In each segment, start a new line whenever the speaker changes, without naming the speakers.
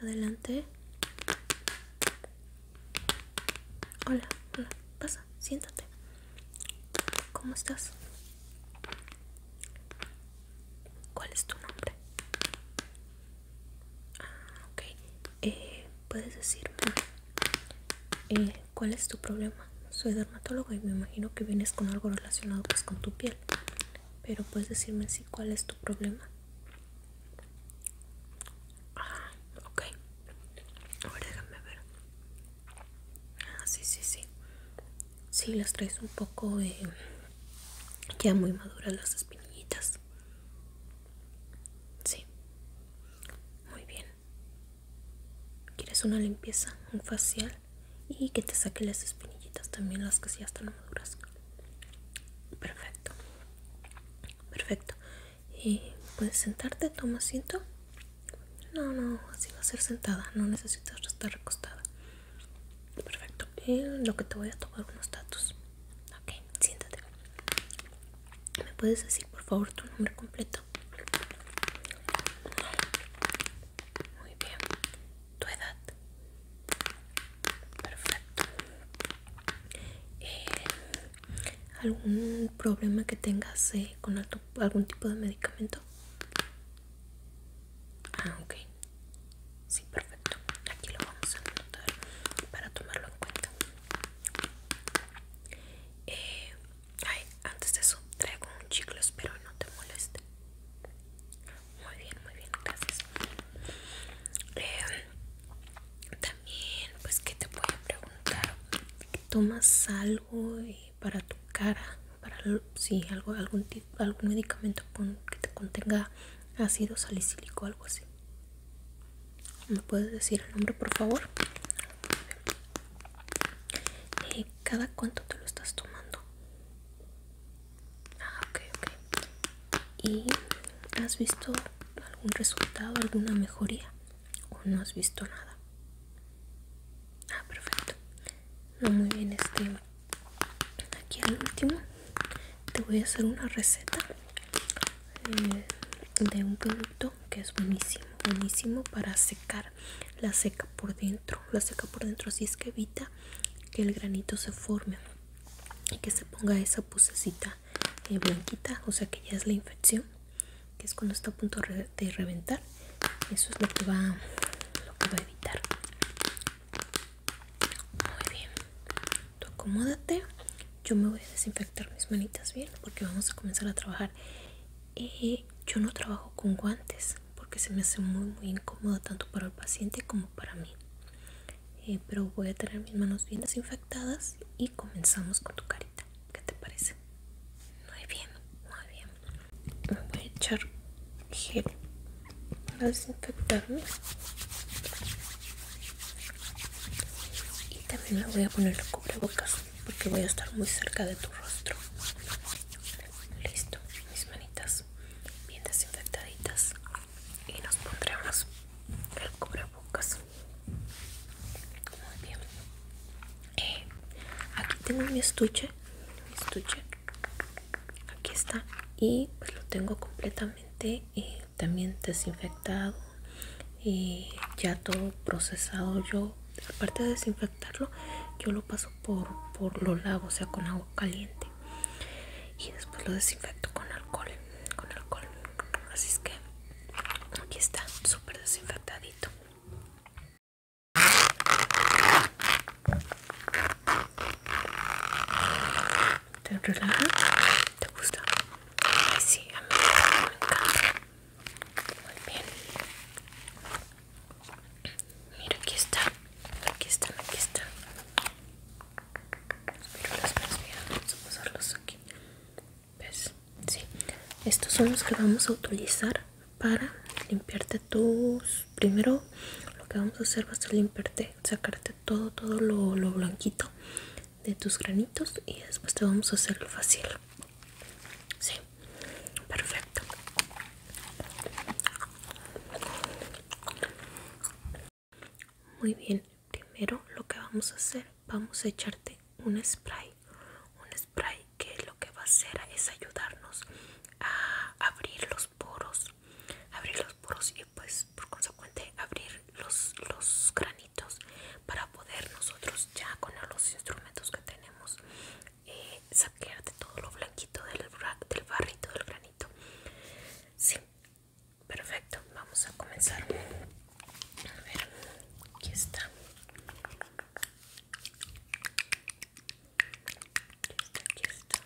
Adelante. Hola, hola, pasa, siéntate. ¿Cómo estás? ¿Cuál es tu nombre? Ah, okay. Eh, ¿Puedes decirme eh, ¿cuál es tu problema? Soy dermatóloga y me imagino que vienes con algo relacionado pues con tu piel. Pero puedes decirme si cuál es tu problema. Ah, ok. Ahora déjame ver. Ah, sí, sí, sí. Sí, las traes un poco eh, ya muy maduras las espinillitas. Sí. Muy bien. Quieres una limpieza, un facial y que te saque las espinillitas también, las que ya están maduras. Perfecto. Perfecto. Y eh, puedes sentarte, toma asiento. No, no, así va a ser sentada, no necesitas estar recostada. Perfecto. Eh, lo que te voy a tomar unos datos. Ok, siéntate. ¿Me puedes decir por favor tu nombre completo? muy bien tu edad perfecto eh, algún problema que tengas eh, con algún tipo de medicamento ah ok sí perfecto aquí lo vamos a anotar para tomarlo en cuenta eh, Ay, antes de eso traigo un chicle, espero no te moleste. Muy bien, muy bien, gracias. Em, también, pues, ¿qué te puedo preguntar? ¿Tomas algo eh, para tu cara? Para, sí, algo, algún, algún medicamento que te contenga ácido salicílico o algo así. ¿Me puedes decir el nombre, por favor? Eh, cada cuánto te lo estás tomando? Ah, ¿Y has visto algún resultado, alguna mejoría? ¿O no has visto nada? Ah, perfecto. No, muy bien, este. Aquí al último te voy a hacer una receta eh, de un producto que es buenísimo buenísimo para secar la seca por dentro la seca por dentro así es que evita que el granito se forme y que se ponga esa pusecita eh, blanquita o sea que ya es la infección que es cuando está a punto de reventar eso es lo que va lo que va a evitar muy bien tú acomódate yo me voy a desinfectar mis manitas bien porque vamos a comenzar a trabajar eh, yo no trabajo con guantes porque se me hace muy muy incómoda tanto para el paciente como para mí eh, pero voy a tener mis manos bien desinfectadas y comenzamos con tu carita ¿qué te parece? muy bien, muy bien voy a echar gel para desinfectarme y también le voy a poner el cubrebocas porque voy a estar muy cerca de tu rostro. Listo, mis manitas bien desinfectaditas y nos pondremos el cubrebocas. Muy bien. Eh, aquí tengo mi estuche, mi estuche. Aquí está y pues, lo tengo completamente eh, también desinfectado y eh, ya todo procesado yo aparte de desinfectado yo lo paso por, por lo lavo o sea con agua caliente y después lo desinfecto con alcohol con alcohol así es que aquí está súper desinfectadito te relaja te gusta Ay, sí a mí me encanta muy bien. Mira, aquí está. Aquí están, aquí están. las vamos a pasarlos aquí. ¿Ves? Sí. Estos son los que vamos a utilizar para limpiarte tus... Primero lo que vamos a hacer va a ser limpiarte, sacarte todo, todo lo, blanquito de tus granitos y después te vamos a hacer lo fácil. Sí perfecto muy bien primero lo que vamos a hacer vamos a echarte un spray un spray que lo que va a hacer es ayudarnos a abrir los poros abrir los poros y pues por consecuente abrir los, los granitos para poder nosotros ya con los instrumentos que tenemos eh, saquearte todo lo blanquito del, barrito, del granito. Sí, perfecto. Vamos a comenzar. A ver, aquí está. Aquí está,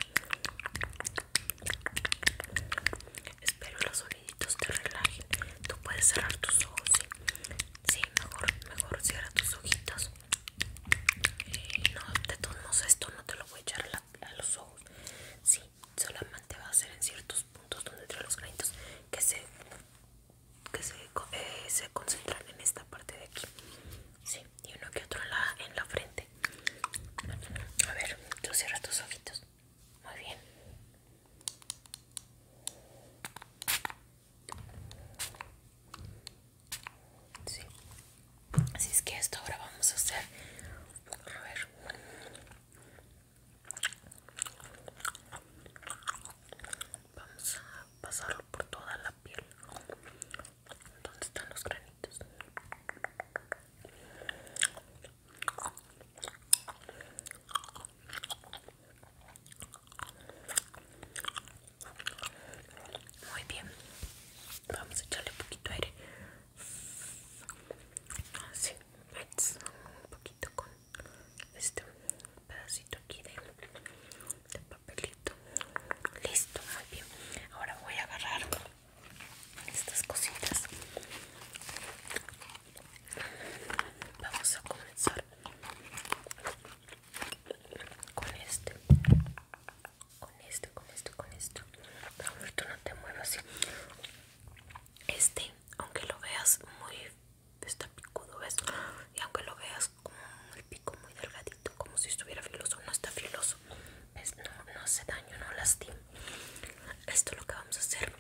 Espero los soniditos te relajen. Tú puedes cerrar tus ojos, Sí, mejor, mejor cierra tus ojitos. Eh, no, de todos modos esto no te lo voy a echar a, los ojos. Sí, solamente va a ser en ciertos puntos donde trae los granitos que se que eh, se, concentran en esta parte de aquí. Sí, y uno que otro en la, en la frente. A ver, tú cierra tus ojitos. Muy bien. Sí. Así es que esto ahora vamos a hacer. A ver. Vamos a pasarlo por toda la piel. ¿Dónde están los granitos? Muy bien. Vamos a echarle un poquito de aire. Así, un poquito con este pedacito aquí de, papelito. Listo, muy bien. Ahora voy a agarrar estas cositas. Vamos a comenzar con este con este con este con este no, tú no te muevas este aunque lo veas muy está picudo ves y aunque lo veas como el pico muy delgadito como si estuviera filoso no está filoso ¿Ves? no no hace daño no lastima esto lo que vamos a hacer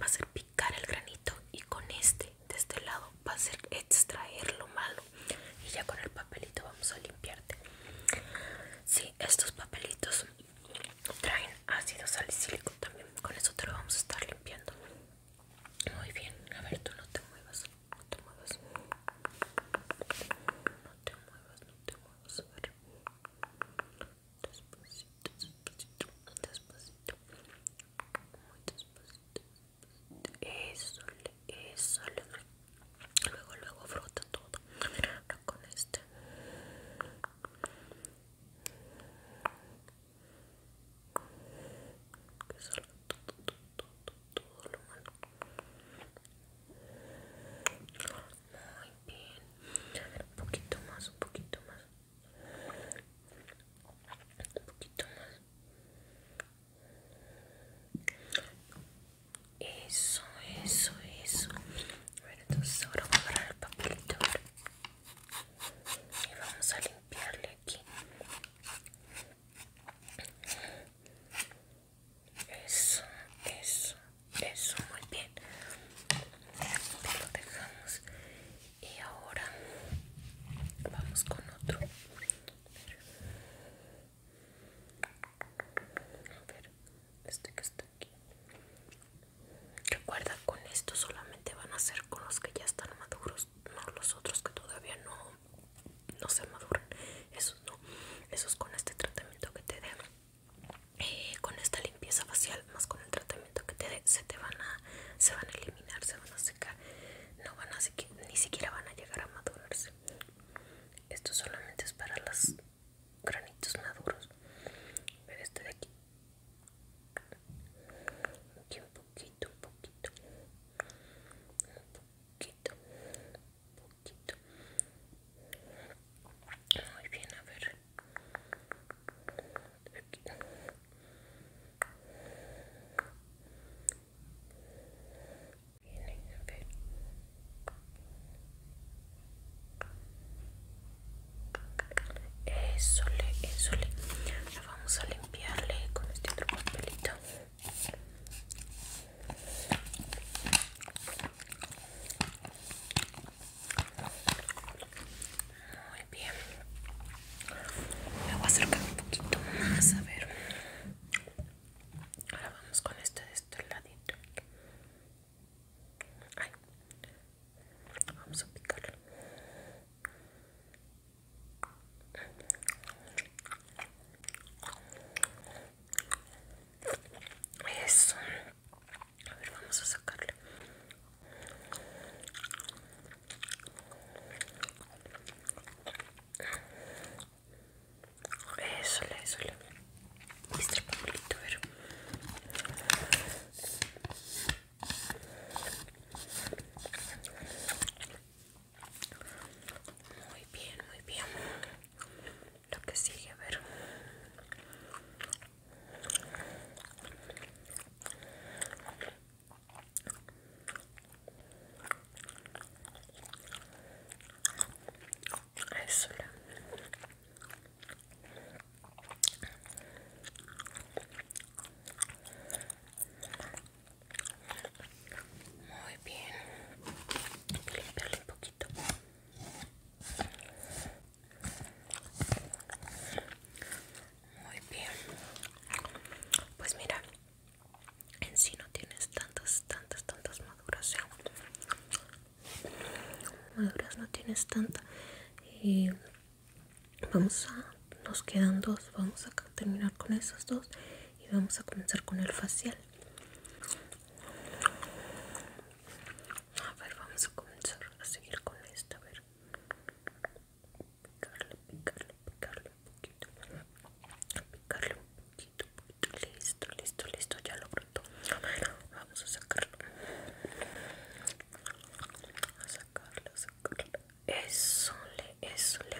va a ser picar el granito y con este de este lado va a ser extraer lo malo y ya con el papelito vamos a limpiarte si, estos papelitos traen ácido salicílico también con eso te lo vamos a estar limpiando muy bien a ver tú no te muevas no te muevas no te muevas no te muevas a ver. despacito despacito despacito muy despacito eso, eso luego luego frota todo con este que salga todo, todo, todo, todo lo malo muy bien un poquito más un poquito más un poquito más eso eso eso bueno entonces ahora vamos a agarrar el papelito y vamos a limpiarle aquí eso eso eso muy bien lo dejamos y ahora vamos con otro a ver este que está aquí recuerda con esto solamente van a ser con los que ya están maduros no los otros que todavía no no se maduran esos no esos con este tratamiento que te dé eh, con esta limpieza facial más con el tratamiento que te dé se te van a se van a eliminar se van a secar, no van a ni siquiera van a llegar a madurarse. Esto solamente es para los granitos maduros. Pero este de aquí. Aquí un poquito, un poquito. Un poquito, un poquito. Muy bien, a ver. Eso le, vamos a limpiarle con este otro papelito. Muy bien. Me voy a acercar un poquito más, a ver. Ahora vamos con este de este lado Ay. Vamos a picarlo. Eso. A ver, vamos a sacarlo eso, le, eso, Este papelito, pero... Muy bien, muy bien. Lo que sigue, a ver. Eso Muy bien. Voy limpiarle un poquito. Muy bien. Pues mira, en sí no tienes tantas, tantas, tantas maduras. ¿eh? Maduras no tienes tanta. Y vamos a, nos quedan dos. Vamos a terminar con esos dos y vamos a comenzar con el facial. A ver, vamos a comenzar a seguir con esta. A ver picarle, picarle, picarle un poquito, picarle un poquito, poquito, listo, listo, listo, ya lo brotó. Vamos a sacarlo, a sacarlo, a sacarlo. Eso le, eso le.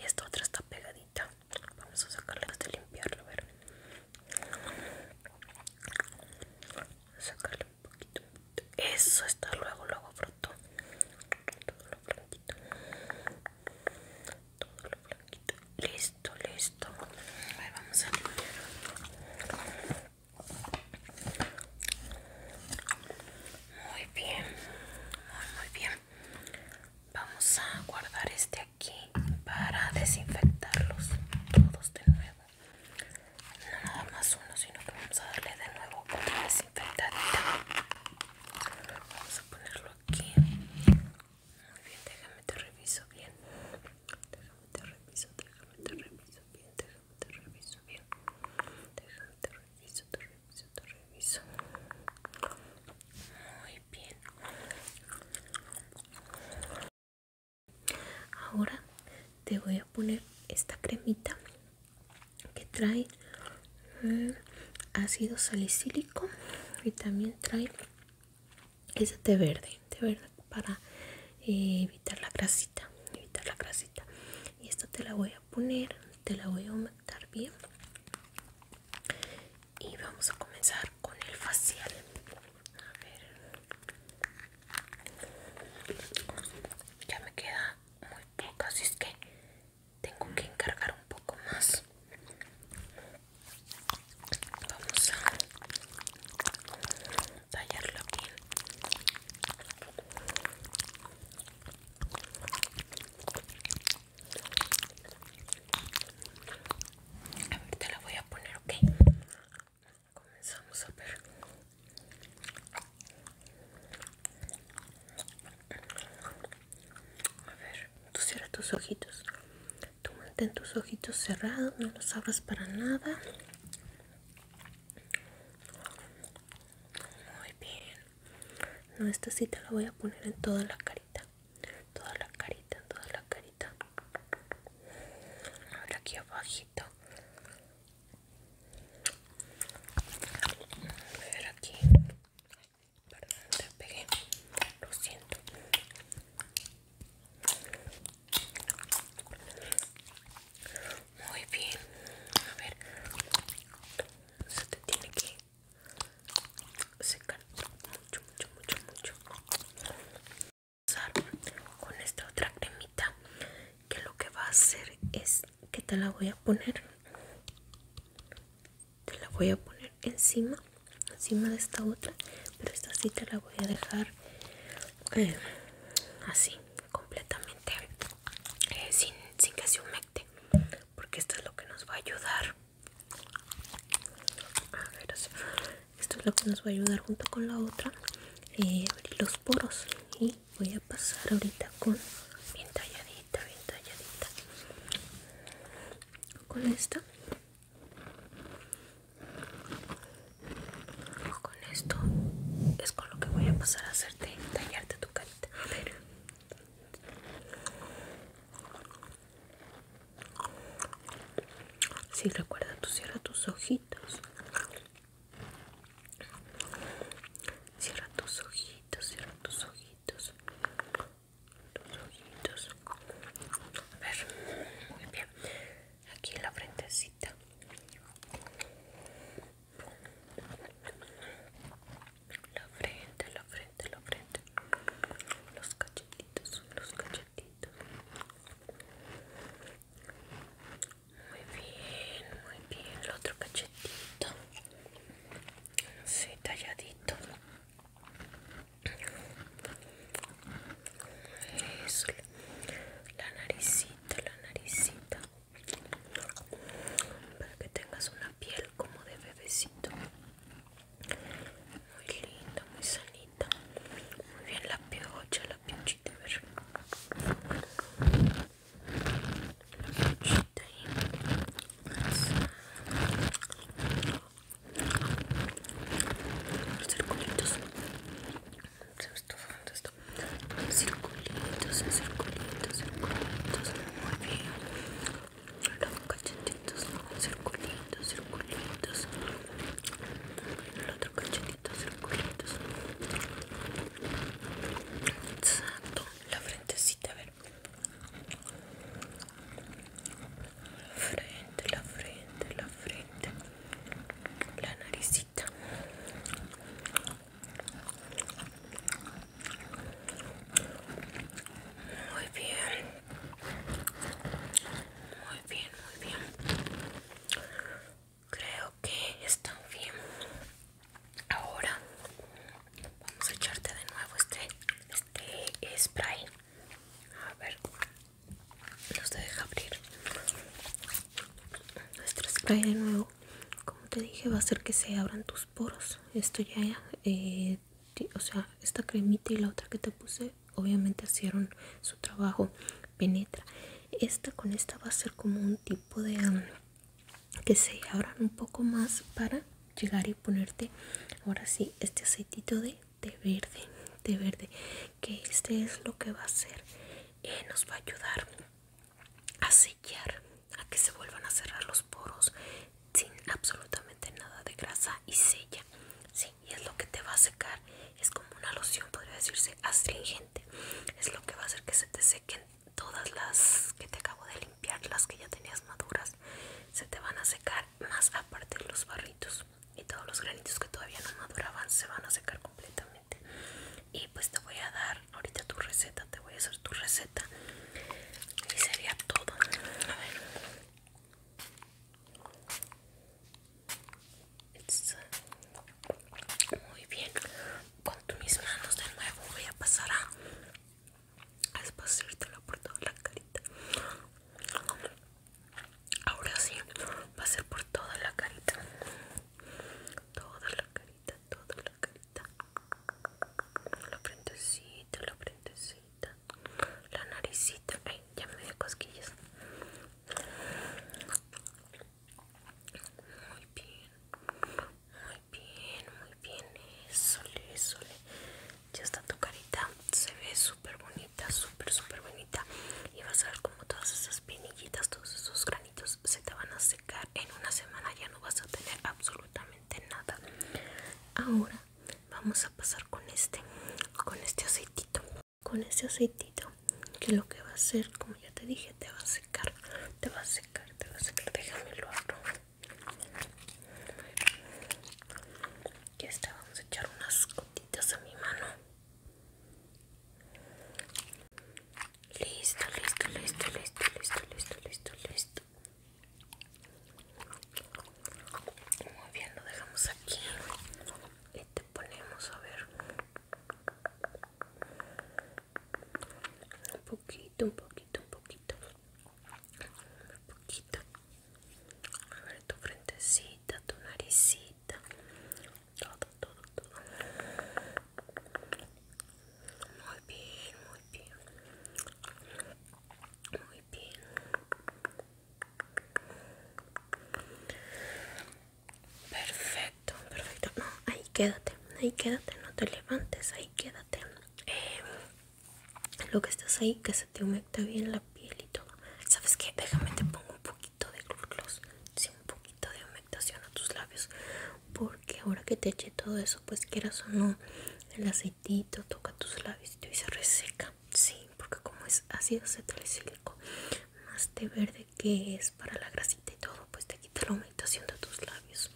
Y esta otra está pegadita. Vamos a sacarla hasta limpiarlo, a ver. A sacarlo poquito, Eso está luego, luego fruto. Todo lo blanquito. Todo lo blanquito. Listo, listo. Ahí vamos a Muy bien. muy bien. Vamos a guardar este aquí para desinfectarlos todos de nuevo no nada más uno sino que vamos a darle de nuevo otra desinfectadita vamos a ponerlo aquí muy bien déjame te reviso bien déjame te reviso déjame te reviso bien déjame te reviso bien déjame te reviso te reviso te reviso muy bien Ahora te voy a poner esta cremita que trae mm, ácido salicílico y también trae ese té verde, té verde para eh, evitar la grasita, evitar la Y esto te la voy a poner, te la voy a aumentar bien. Y vamos a comenzar con el facial. A ver. Ya me queda muy poca, así es que tengo que encargar un poco más. Vamos a tallarla aquí A ver, te la voy a poner, ok. Comenzamos a ver. A ver, tú cierra tus ojitos. Tú mantén tus ojitos cerrados, no los abras para nada. Muy bien. No, esta sí te la voy a poner en toda la carita. Toda la carita, En toda la carita. Ahora aquí abajito a ver aquí perdón te pegué lo siento muy bien a ver se te tiene que secar mucho mucho mucho mucho con esta otra cremita que lo que va a hacer es que te la voy a poner te la voy a poner encima encima de esta otra pero esta sí te la voy a dejar eh, así completamente eh, sin, sin que se humecte porque esto es lo que nos va a ayudar esto es lo que nos va a ayudar junto con la otra eh, abrir los poros y voy a pasar ahorita con bien talladita, bien talladita con esta con esto es con lo que voy a pasar a hacerte tallarte tu carita a ver si sí, recuerda tú cierra tus ojitos Cierra tus ojitos, cierra tus ojitos. Tus ojitos. A ver, muy bien. Aquí en la frentecita. La frente, la frente, la frente. Los cachetitos, los cachetitos. Muy bien, muy bien. El otro cachetito. Sí, talladito. Eso. La naricita, la naricita. Para que tengas una piel como de bebecito. Muy linda, muy sanita. Muy bien la piocha, la piochita la circulitos circulitos, circulitos, muy bien los cachetitos circulitos, el otro circulitos, la frentecita, a ver. La frente, la frente, la frente. La naricita. Muy bien. Muy bien, muy bien creo que están bien ahora vamos a echarte de nuevo este este spray a ver los deja abrir nuestro spray de nuevo como te dije va a hacer que se abran tus poros esto ya eh, o sea esta cremita y la otra que te puse obviamente hicieron su trabajo penetra esta con esta va a ser como un tipo de um, que se abran un poco más para llegar y ponerte ahora sí este aceitito de verde de verde que este es lo que va a hacer y eh, nos va a ayudar a sellar a que se vuelvan a cerrar los poros sin absolutamente nada de grasa y sella sí y es lo que te va a secar es como una loción podría decirse astringente es lo que va a hacer que se te sequen todas las que te acabo de limpiar las que ya tenías maduras se te van a secar más aparte los barritos y todos los granitos que todavía no maduraban se van a secar completamente y pues te voy a dar ahorita tu receta te voy a hacer tu receta y sería todo a ver muy bien, con mis manos de nuevo voy a pasar a, a por toda la carita. Ahora sí, va a ser por toda la carita. Toda la carita, toda la carita. La frentecita, la frentecita. La naricita. Ay, ya me dio cosquillas. Muy bien, muy bien, muy bien. Eso, eso. Ya está tu carita. Se ve súper bonita, súper, súper bonita. Y vas a ver como todas esas pinillitas, todos esos granitos se te van a secar. En una semana ya no vas a tener absolutamente nada. Ahora vamos a pasar con este, con este aceitito. Con este aceitito que lo que va a hacer, como ya te dije, te va a secar, te va a secar, te va a secar. Déjame lo otro Ya está, vamos a echar unas gotitas a mi mano. Listo, listo, listo, listo, listo, listo, listo, listo. Muy bien, lo dejamos aquí y te ponemos a ver um pouquito um pouquito um pouquito um pouquito A ver tu frentecita, tu naricita. Todo, todo, todo. Muy bien, muy bien. Muy bien. Perfecto, perfecto. No, ahí quédate, ahí quédate, no te levantes, ahí quédate. Em, lo que estás ahí, que se te humecta bien la piel y todo. ¿Sabes qué? Déjame te pongo un poquito de gloss, sí, un poquito de humectación a tus labios. Porque ahora que te eche todo eso, pues quieras o no, el aceitito toca tus labios y se reseca. Sí, porque como es ácido cetro más de verde que es para la grasita y todo, pues te quita la humectación de tus labios.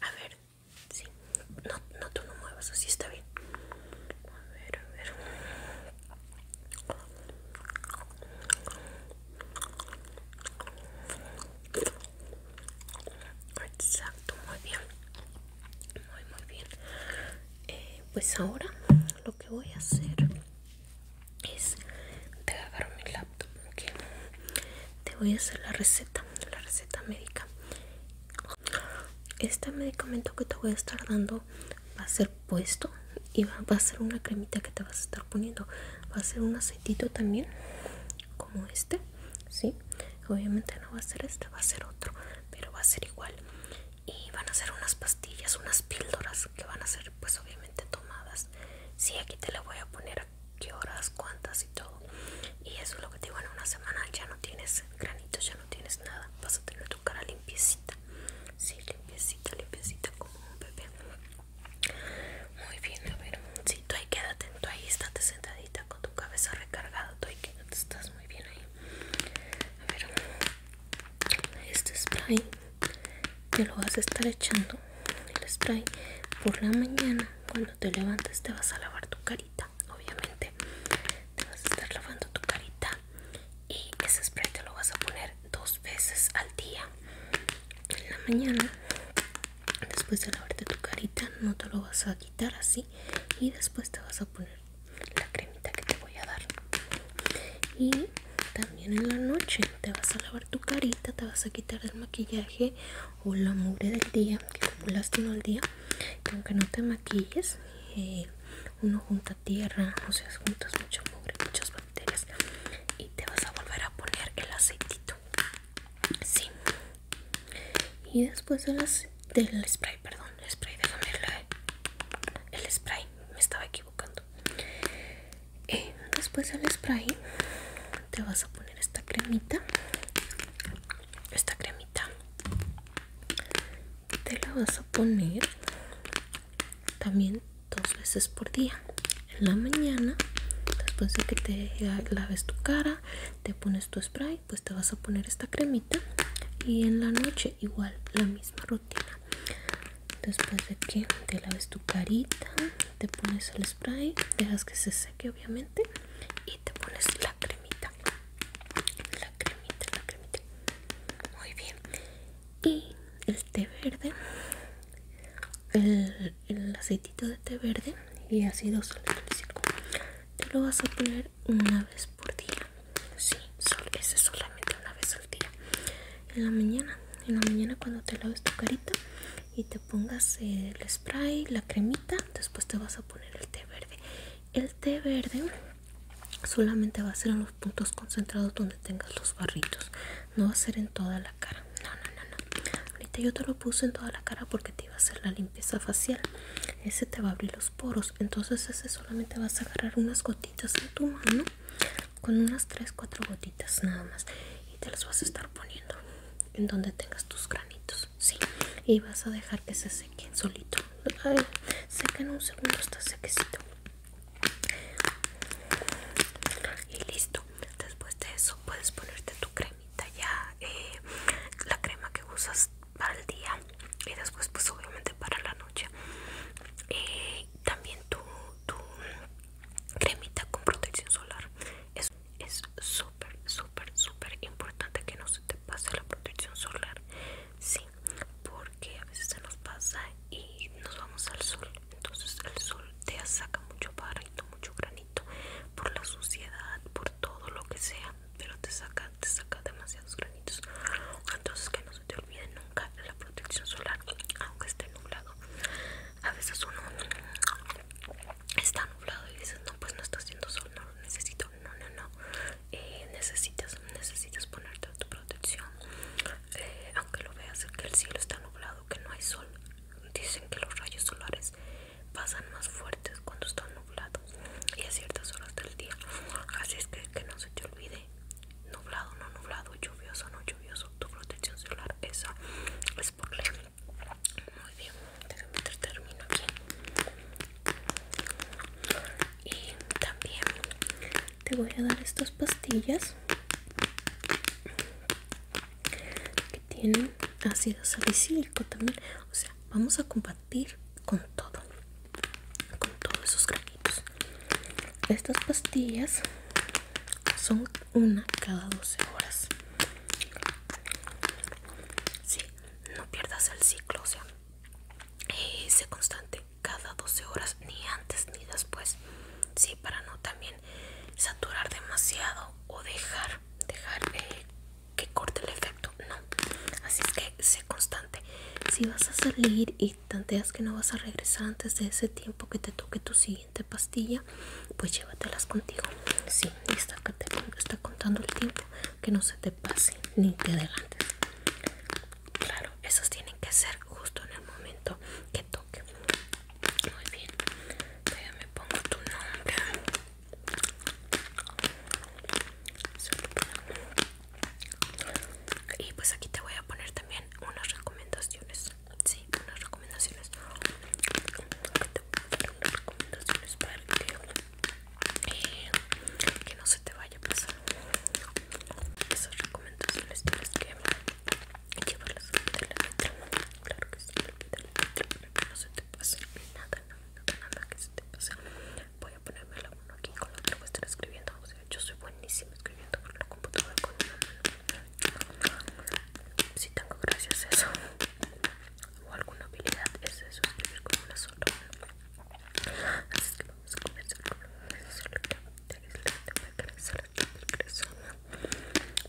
A ver, sí, no, no tú no muevas, así está bien. A ver, a ver. Exacto, muy bien. Muy, muy bien. Eh, pues ahora lo que voy a hacer es te agarro mi laptop que te voy a hacer la receta la receta médica este medicamento que te voy a estar dando va a ser puesto y va, a ser una cremita que te vas a estar poniendo va a ser un aceitito también como este sí obviamente no va a ser este va a ser otro pero va a ser igual y van a ser unas pastillas unas píldoras que van a ser pues obviamente tomadas si aquí te le voy a poner a qué horas cuántas y todo y eso es lo que te digo en una semana ya no tienes granitos ya no tienes nada vas a tener tu cara limpiecita sí limpiecita limpiecita como un bebé muy bien a ver si ahí quédate tú ahí estate sentadita con tu cabeza recargada tú ahí quédate estás muy bien ahí a ver este spray te lo vas a estar echando el spray por la mañana cuando te levantes te vas a lavar tu carita obviamente te vas a estar lavando tu carita y ese spray te lo vas a poner dos veces al día en la mañana después de lavarte tu carita no te lo vas a quitar así y después te vas a poner la cremita que te voy a dar y también en la noche te vas a lavar tu carita te vas a quitar el maquillaje o la mugre del día que acumulaste en el día aunque no te maquilles eh, uno junta tierra o sea juntas mucha mugre muchas bacterias y te vas a volver a poner el aceitito sí y después de del spray perdón el spray déjame verlo el spray me estaba equivocando eh, después del spray te vas a poner esta cremita esta cremita te la vas a poner también dos veces por día en la mañana después de que te laves tu cara te pones tu spray pues te vas a poner esta cremita y en la noche igual la misma rutina después de que te laves tu carita te pones el spray dejas que se seque obviamente y te pones la cremita la cremita la cremita muy bien y el té verde el, el aceitito de té verde y ácido salicílico te lo vas a poner una vez por día sí, ese solamente una vez al día en la mañana en la mañana cuando te laves tu carita y te pongas el spray la cremita después te vas a poner el té verde el té verde solamente va a ser en los puntos concentrados donde tengas los barritos no va a ser en toda la cara no no no no ahorita yo te lo puse en toda la cara porque te iba a hacer la limpieza facial ese te va a abrir los poros entonces ese solamente vas a agarrar unas gotitas en tu mano con unas 3-4 gotitas nada más y te las vas a estar poniendo en donde tengas tus granitos, sí, y vas a dejar que se sequen solito. seca en un segundo, está sequecito. Y listo. Después de eso puedes ponerte tu cremita ya, eh, la crema que usas para el día y después pues obviamente para la noche. Eh, también tu cremita con protección solar es súper es súper súper importante que no se te pase la protección solar sí porque a veces se nos pasa y nos vamos al sol entonces el sol te saca mucho barrito mucho granito por la suciedad por todo lo que sea pero te saca te saca demasiados granitos entonces que no se te nunca la protección solar, aunque esté nublado. A veces uno está nublado y dices, no, pues no está haciendo sol, no lo necesito. No, no, no. Eh, necesitas, necesitas ponerte tu protección. Eh, aunque lo veas que el cielo está nublado, que no hay sol. Dicen que los rayos solares pasan más fuertes cuando está nublado y a ciertas horas del día. Así es que, que no se te olvide nublado, no nublado, lluvioso, no lluvioso. Tu protección celular esa es por ley. Muy bien, déjame termino. aquí. Y también te voy a dar estas pastillas que tienen ácido salicílico también. O sea, vamos a combatir con todo, con todos esos estas pastillas son una cada 12 horas sí, no pierdas el ciclo o sea se sé constante cada 12 horas ni antes ni después sí para no también saturar demasiado o dejar dejar eh, que corte el efecto no así es que sé constante si vas a salir y tanteas que no vas a regresar antes de ese tiempo que te toque tu siguiente pastilla, pues llévatelas contigo. Sí, está contando el tiempo, que no se te pase ni te adelantes. Claro, esas tienen que ser justo en el momento que toque. Muy bien, Ya me pongo tu nombre. Y pues aquí te voy a poner también unas recomendaciones Sí, unas recomendaciones. Unas recomendaciones para que, eh, que no se te vaya a pasar. Esas recomendaciones tienes que llevarlas de la letra. Claro que sí, de la letra para que no se te pase nada, nada, nada que se te pase. Voy a ponerme la mano aquí con la otra voy a estar escribiendo yo soy buenísima escribiendo por la computadora con una Si tengo gracias eso o alguna habilidad, es eso, escribir con una sola Así que vamos a comenzar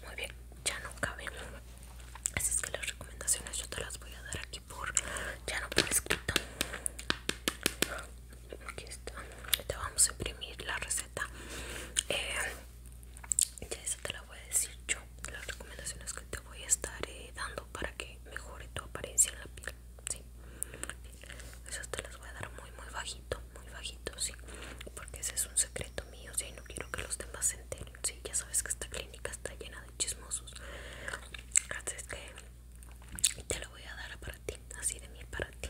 Muy bien, ya no caben. Así es que las recomendaciones yo te las voy a dar aquí por ya no por escrito aquí está te vamos a imprimir la receta eh, ya eso te la voy a decir yo las recomendaciones que te voy a estar eh, dando para que mejore tu apariencia en la piel ¿sí? esas te las voy a dar muy muy bajito muy bajito sí porque ese es un secreto mío sí no quiero que los demás se enteren sí ya sabes que esta clínica está llena de chismosos así es que te lo voy a dar para ti así de mí para ti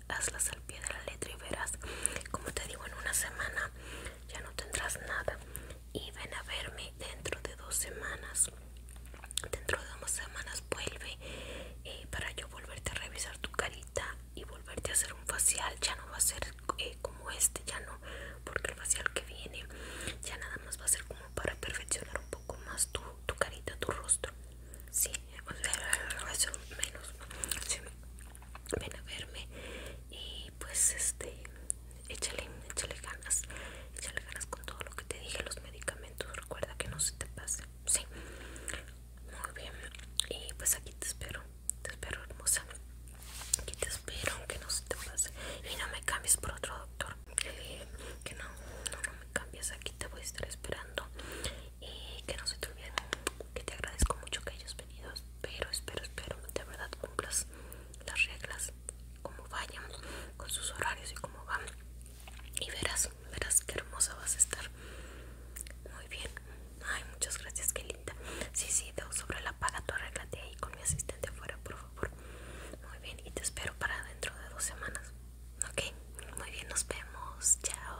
hazlas al pie de la letra y verás como te digo en una semana ya no tendrás nada y ven a verme dentro de dos semanas dentro de dos semanas vuelve eh, para yo volverte a revisar tu carita y volverte a hacer un facial ya no va a ser eh, como este ya no porque el facial que viene ya nada más va a ser como para perfeccionar un poco más tu, carita tu rostro sí a sea, menos ven a verme y pues este échale, échale ganas, échale ganas con todo lo que te dije, los medicamentos, recuerda que no se te pase, sí, muy bien, y pues aquí te espero, te espero hermosa, aquí te espero que no se te pase y no me cambies por otro doctor, eh, que no, no me cambies, aquí te voy a estar esperando y que no se te olviden que te agradezco mucho que hayas venido pero espero espero de verdad cumplas las reglas como vayan con sus horarios y como van y verás verás qué hermosa vas a estar muy bien ay muchas gracias qué linda sí sí sobre la paga tú arréglate ahí con mi asistente afuera por favor muy bien y te espero para dentro de dos semanas ok muy bien nos vemos chao